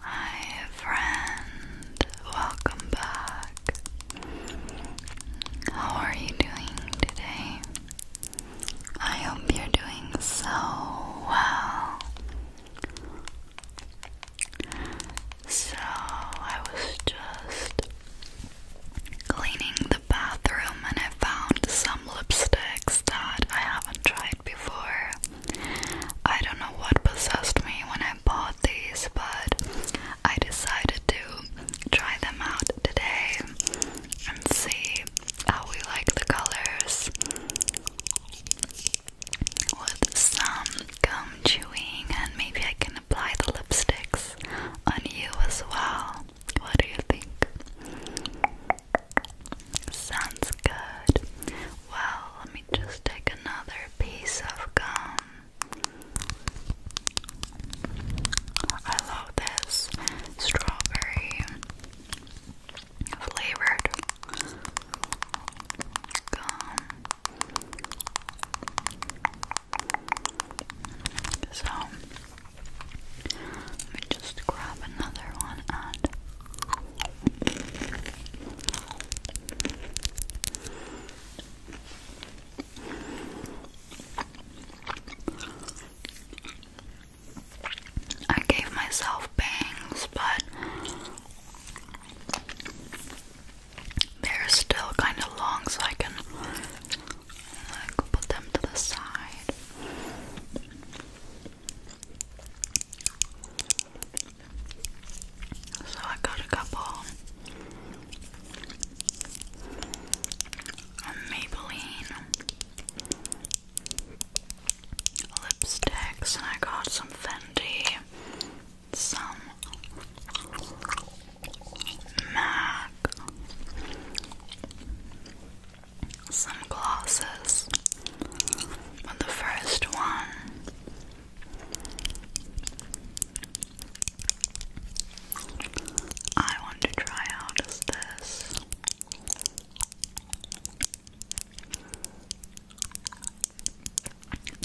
Hi, friend, welcome back. How are you doing today? I hope you're doing so well. So, I was just cleaning the bathroom and I found some lipsticks that I haven't tried before. I don't know what possessed me when I bought these, but I decided to try them out today and see how we like the colors. With some gum chewing, and maybe I can apply the lipsticks on you as well. What do you think? Sounds good. Well, let me just take another piece of gum. I love this strawberry flavored gum. So let me just grab another one I gave myself bangs, but they're still kind of long, so I can put them to the side. So I got a couple Maybelline lipsticks, and I got some Fendi, some MAC some glosses but the first one I want to try out is this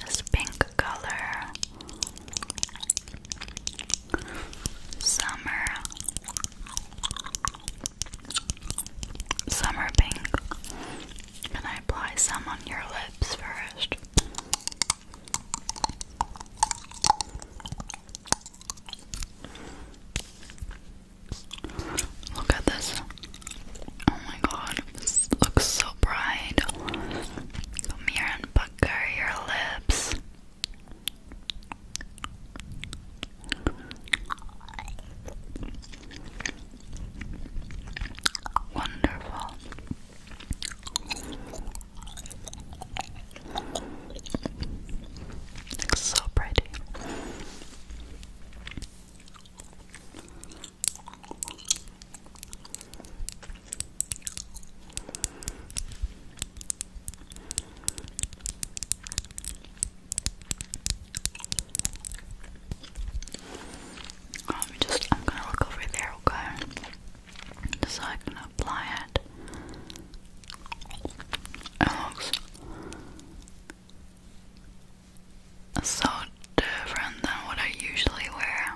this pink color Summer Summer pink. And I apply some on your lips first. Look at this. Oh my god, this looks so bright. Come here and pucker lips. Wonderful. so pretty. Let um, me just, I'm gonna look over there, okay? So I can apply it. It looks so different than what I usually wear.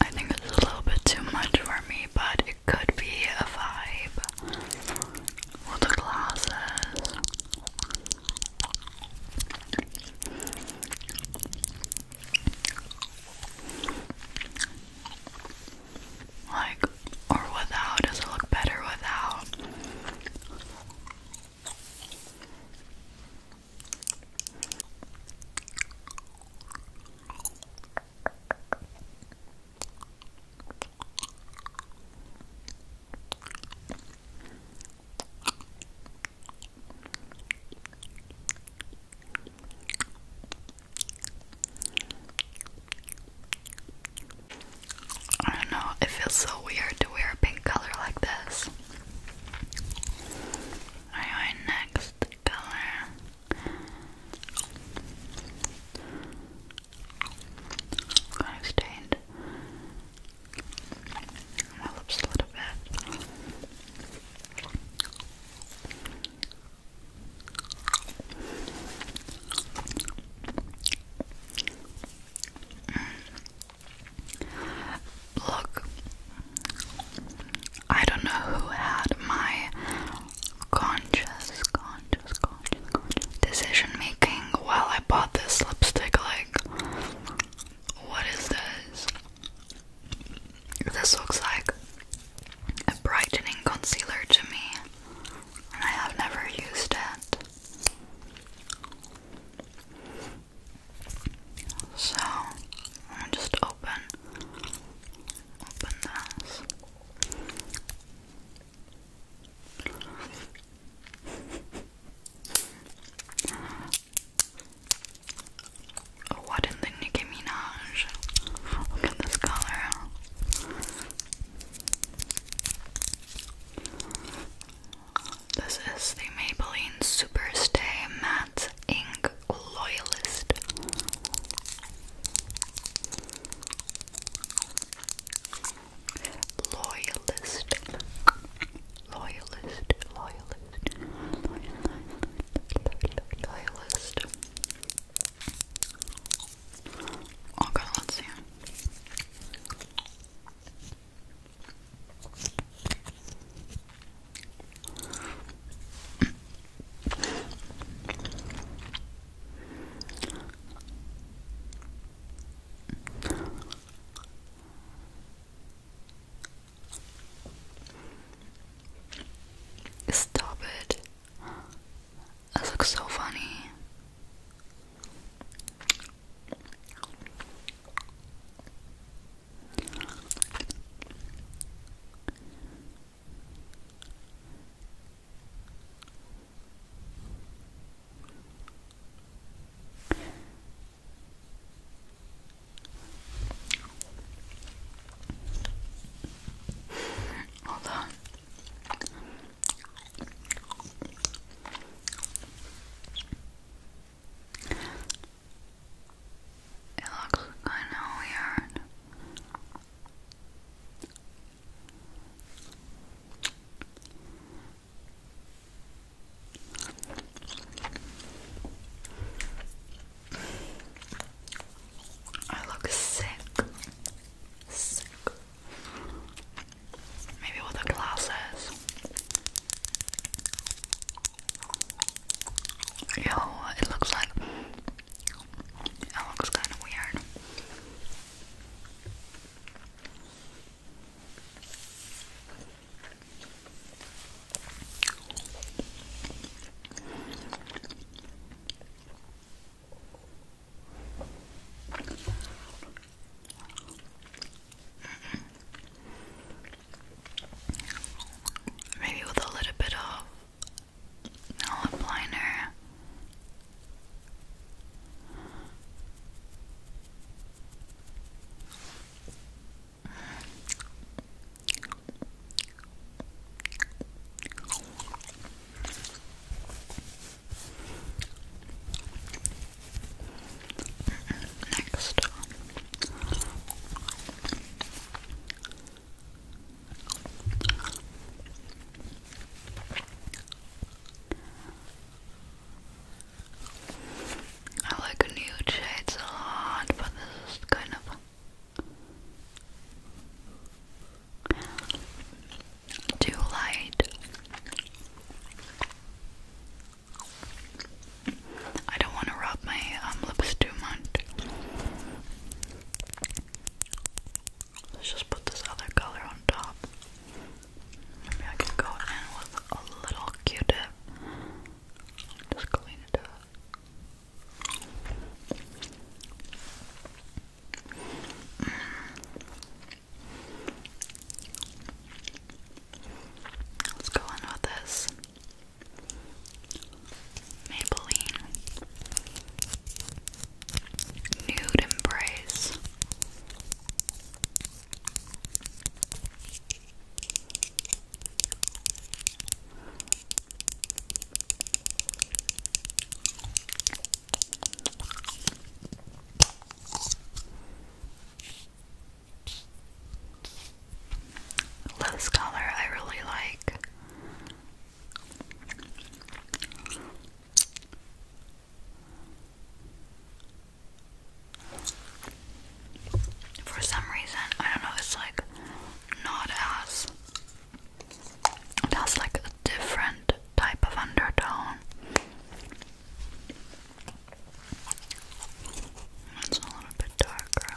I think it's a little bit too much for me, but it could be a vibe with the glasses. Like, or without? Does it look better without? I don't know, it feels so weird to wear a pink color like this. Alright, next color. Kind of stained. My a little bit. Look, I don't know who had my conscious, conscious, conscious, decision making while I bought this lipstick. Like, what is this? This looks like a brightening concealer to me. I have never used it. So just open, open this. What in the Nicki Look at this color. This is the Maybelline Superstay Matte Ink Loyalist. Loyalist. Loyalist. Loyalist. Loyalist. Loyalist. Okay. let's see. Stop it. That looks so funny. Hold on. It looks kinda weird. I look sick. Sick. Maybe with the glasses. Yo, it looks like it looks kind of weird. Maybe with a little bit of lip liner. Next. I like nude shades a lot, but this is kind of too light. I don't want to rub my um, lips too much. Let's just put this other color on top. Maybe I can go in with a little Q-tip. Just clean it up. Let's go on with this. Maybelline Nude Embrace. This color I really like. For some reason, I don't know, it's like not as it has like a different type of undertone. It's a little bit darker.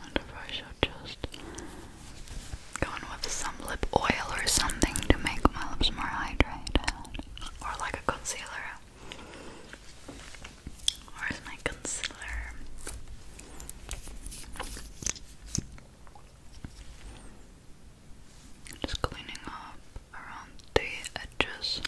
wonder if I should just go in with some lip oil or something to make my lips more hydrated, or like a concealer. Where's my concealer? Just cleaning up around the edges.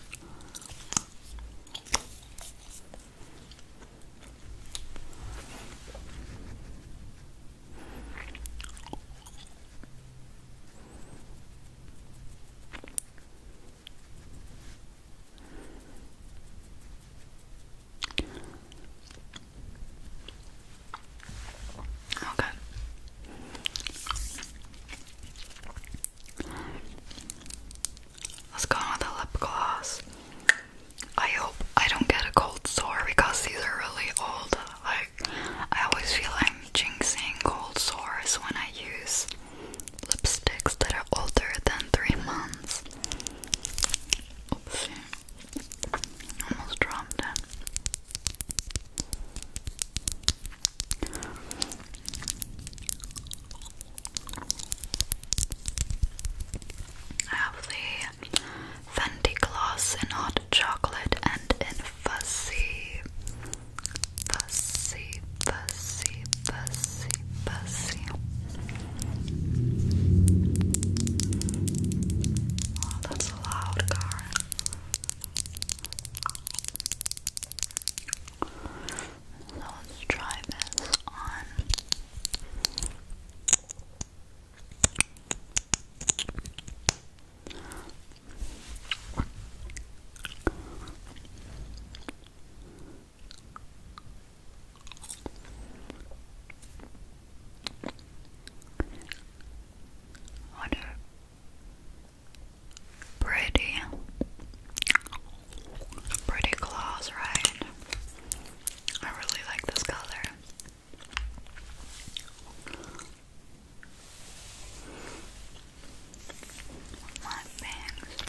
Okay. Let's go with the lip gloss. I hope I don't get a cold sore because these are really old. Like I always feel i jinxing cold sores when I use lipsticks that are older than three months. Oopsie. Almost dropped it. I have the Fenty Gloss in hot chocolate and in fuzzy, fuzzy, fuzzy, fuzzy, fuzzy. Oh, that's loud, Karen. So let's try this on. What Pretty. Pretty gloss, right? I really like this color. My bangs.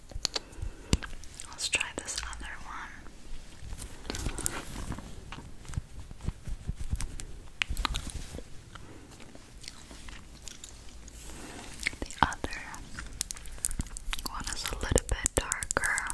Let's try this other one. The other one is a little bit darker.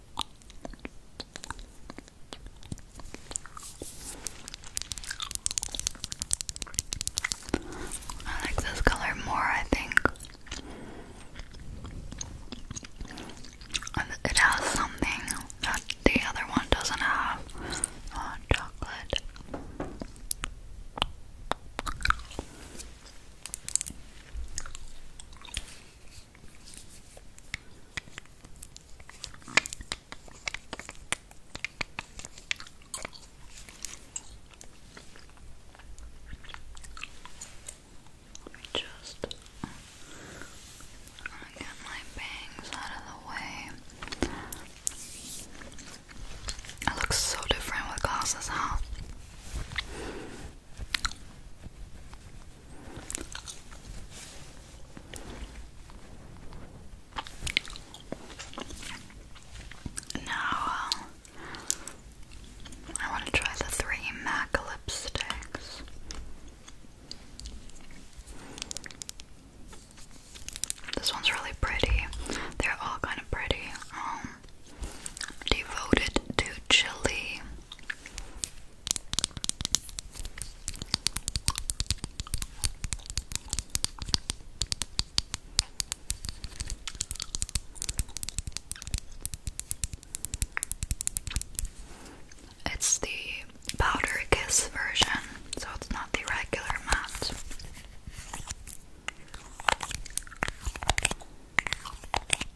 I like this color more, I think. It has something that the other one doesn't have. Oh, chocolate. Just I uh, get my bangs out of the way. It looks so different with glasses, huh? Now, uh, I want to try the three MAC lipsticks. This one's really pretty. They're all kind of pretty. Um, devoted to chili, it's the powder kiss version, so it's not the regular matte.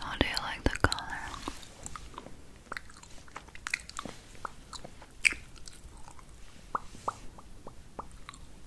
How do you like the color?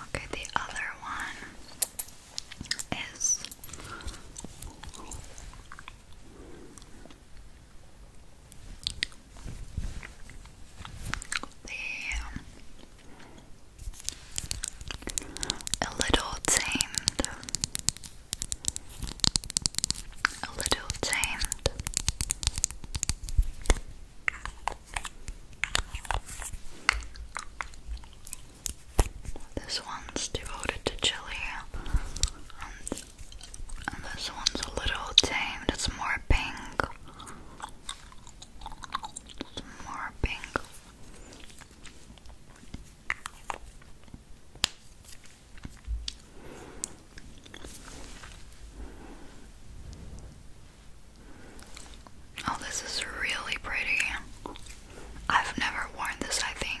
Okay, the other one is the a little tamed. A little tamed. This one's devoted to chili, and, this one's a little tamed. It's more pink. It's more pink. Oh, this is really pretty. I've never worn this, I think.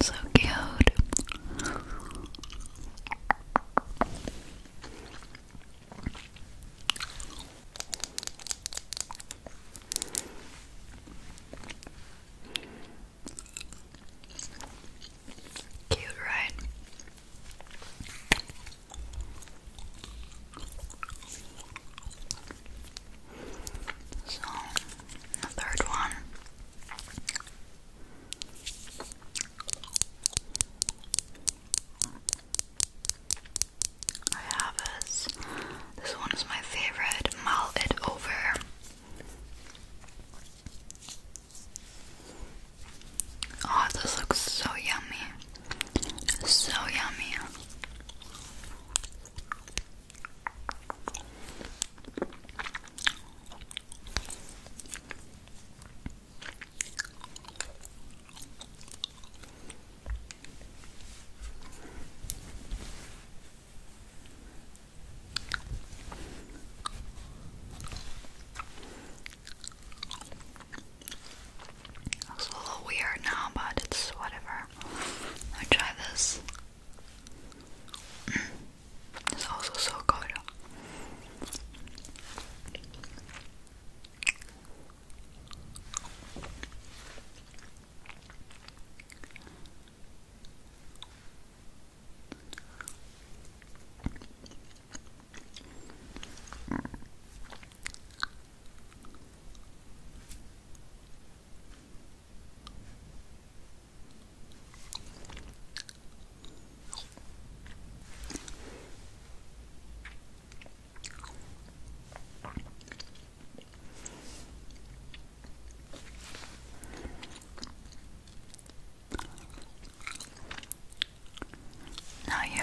So cute. Cute, right? So, the third one. I have this. This one is my favorite. Mull over. Oh, this looks so yummy. So yummy. It's a little weird now, but it's whatever. I'll try this. Mm. It's also so good. Now you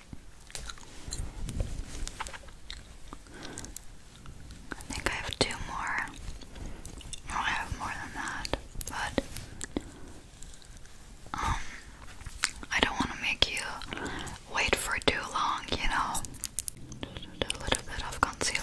I think I have two more. I have more than that, but um, I don't want to make you wait for too long, you know. A little bit of concealer.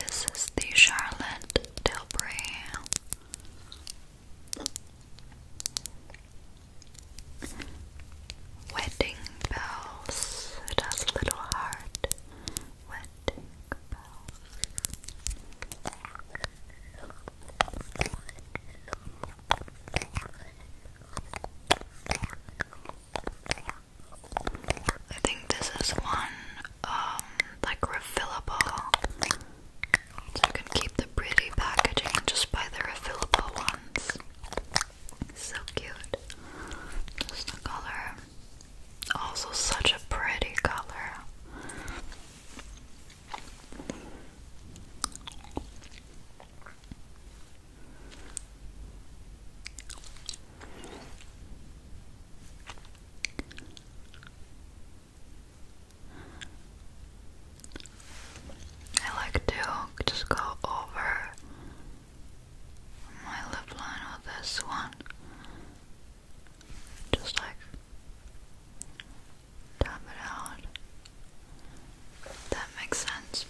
This is the Charlotte Tilbury Wedding Bells. It has a little heart I think this is one, um, like refillable. you can keep the pretty packaging just buy the refillable ones. So cute. Just the color. Also, such a pretty color. I like to just go over my lip line or this one. Just like tap it out. That makes sense.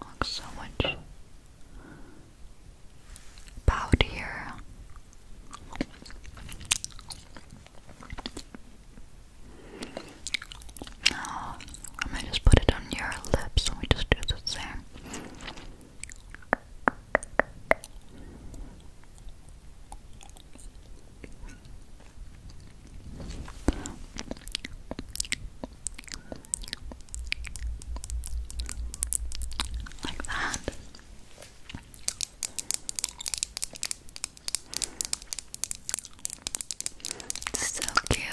Looks so much powder. I'm gonna just put it on your lips and we just do the same. Like that. So cute.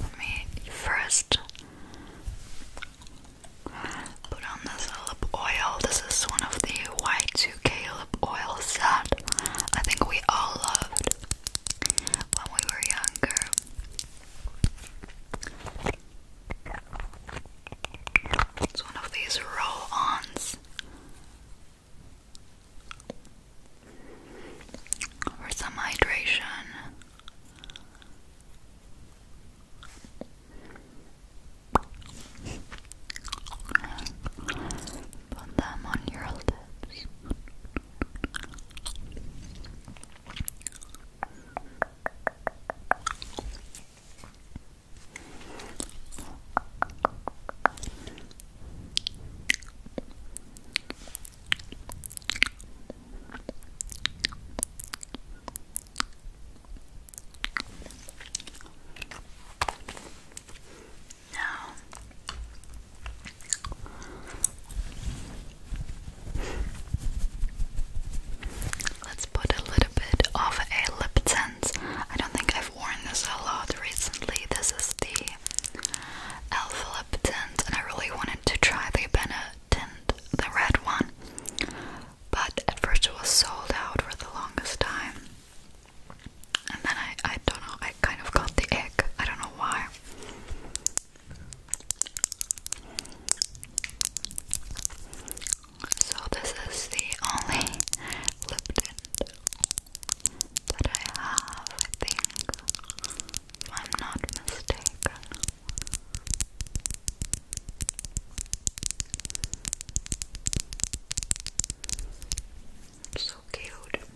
Let me first put on this lip oil. This is one of the Y2K lip oils that I think we all loved when we were younger. It's one of these roll-ons for some hydration. Put them on your lips. Now, let's put a little bit of a lip tint. I don't think I've worn this a lot recently. This is the Alpha Liptons, and I really wanted to try the Benetint, the red one, but at first it was sold out for the longest time. And then I, I don't know, I kind of got the ick. I don't know why. So this is the only lip tint that I have, I think, if I'm not mistaken. So cute.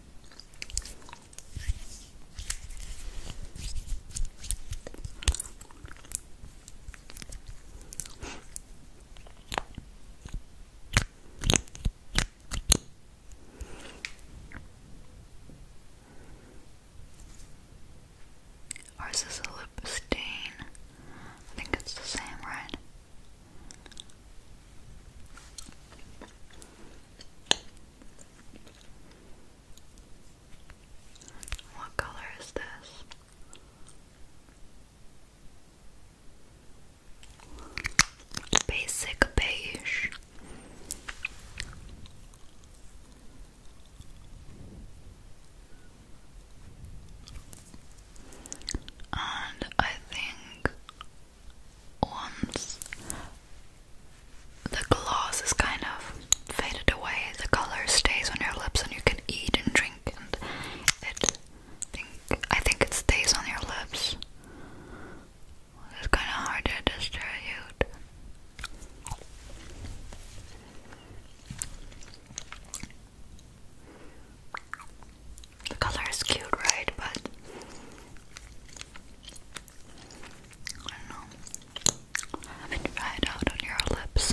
Or is a lip stain? I think it's the same, right? What color is this? Basic beige. And I think once the gloss is kind of faded away, the color stays on your lips, and you can eat and drink, and it. I think it stays on your lips. It's kind of hard to distribute. The color is cute, right? But I don't know. Have it out on your lips.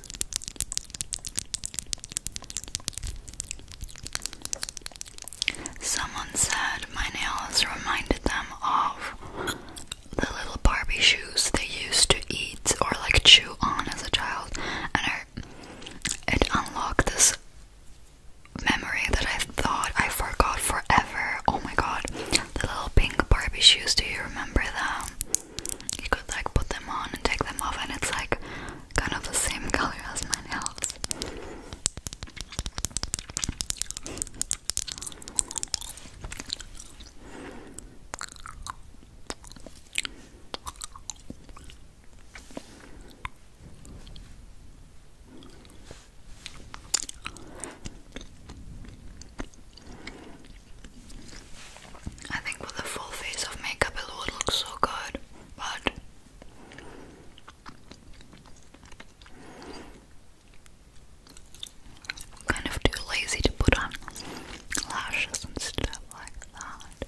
Someone said my nails reminded them of the little Barbie shoes they used to eat or like chew on as a child, and I, it unlocked this memory that I thought I forgot forever. Oh my god, the little pink Barbie shoes, do you remember them? You could like put them on and take them off, and it's like kind of the same color as my nails. I think with a full face of makeup it would look so good but kind of too lazy to put on lashes and stuff like that.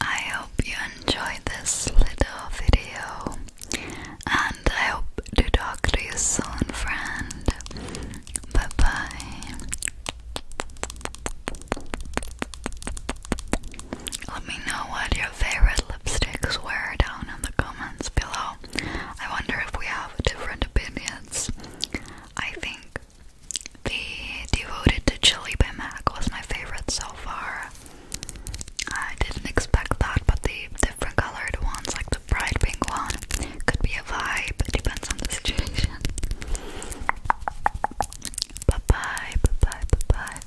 I hope you enjoyed this little video, and I hope to talk to you soon, friend. Bye bye. Let me know what your favorite lipsticks were down in the comments below. I wonder if we have different opinions. I think the Devoted to Chili by MAC was my favorite so far. I didn't expect that, but the different colored ones, like the bright pink one, could be a vibe. It depends on the situation. Bye bye, bye bye, bye bye.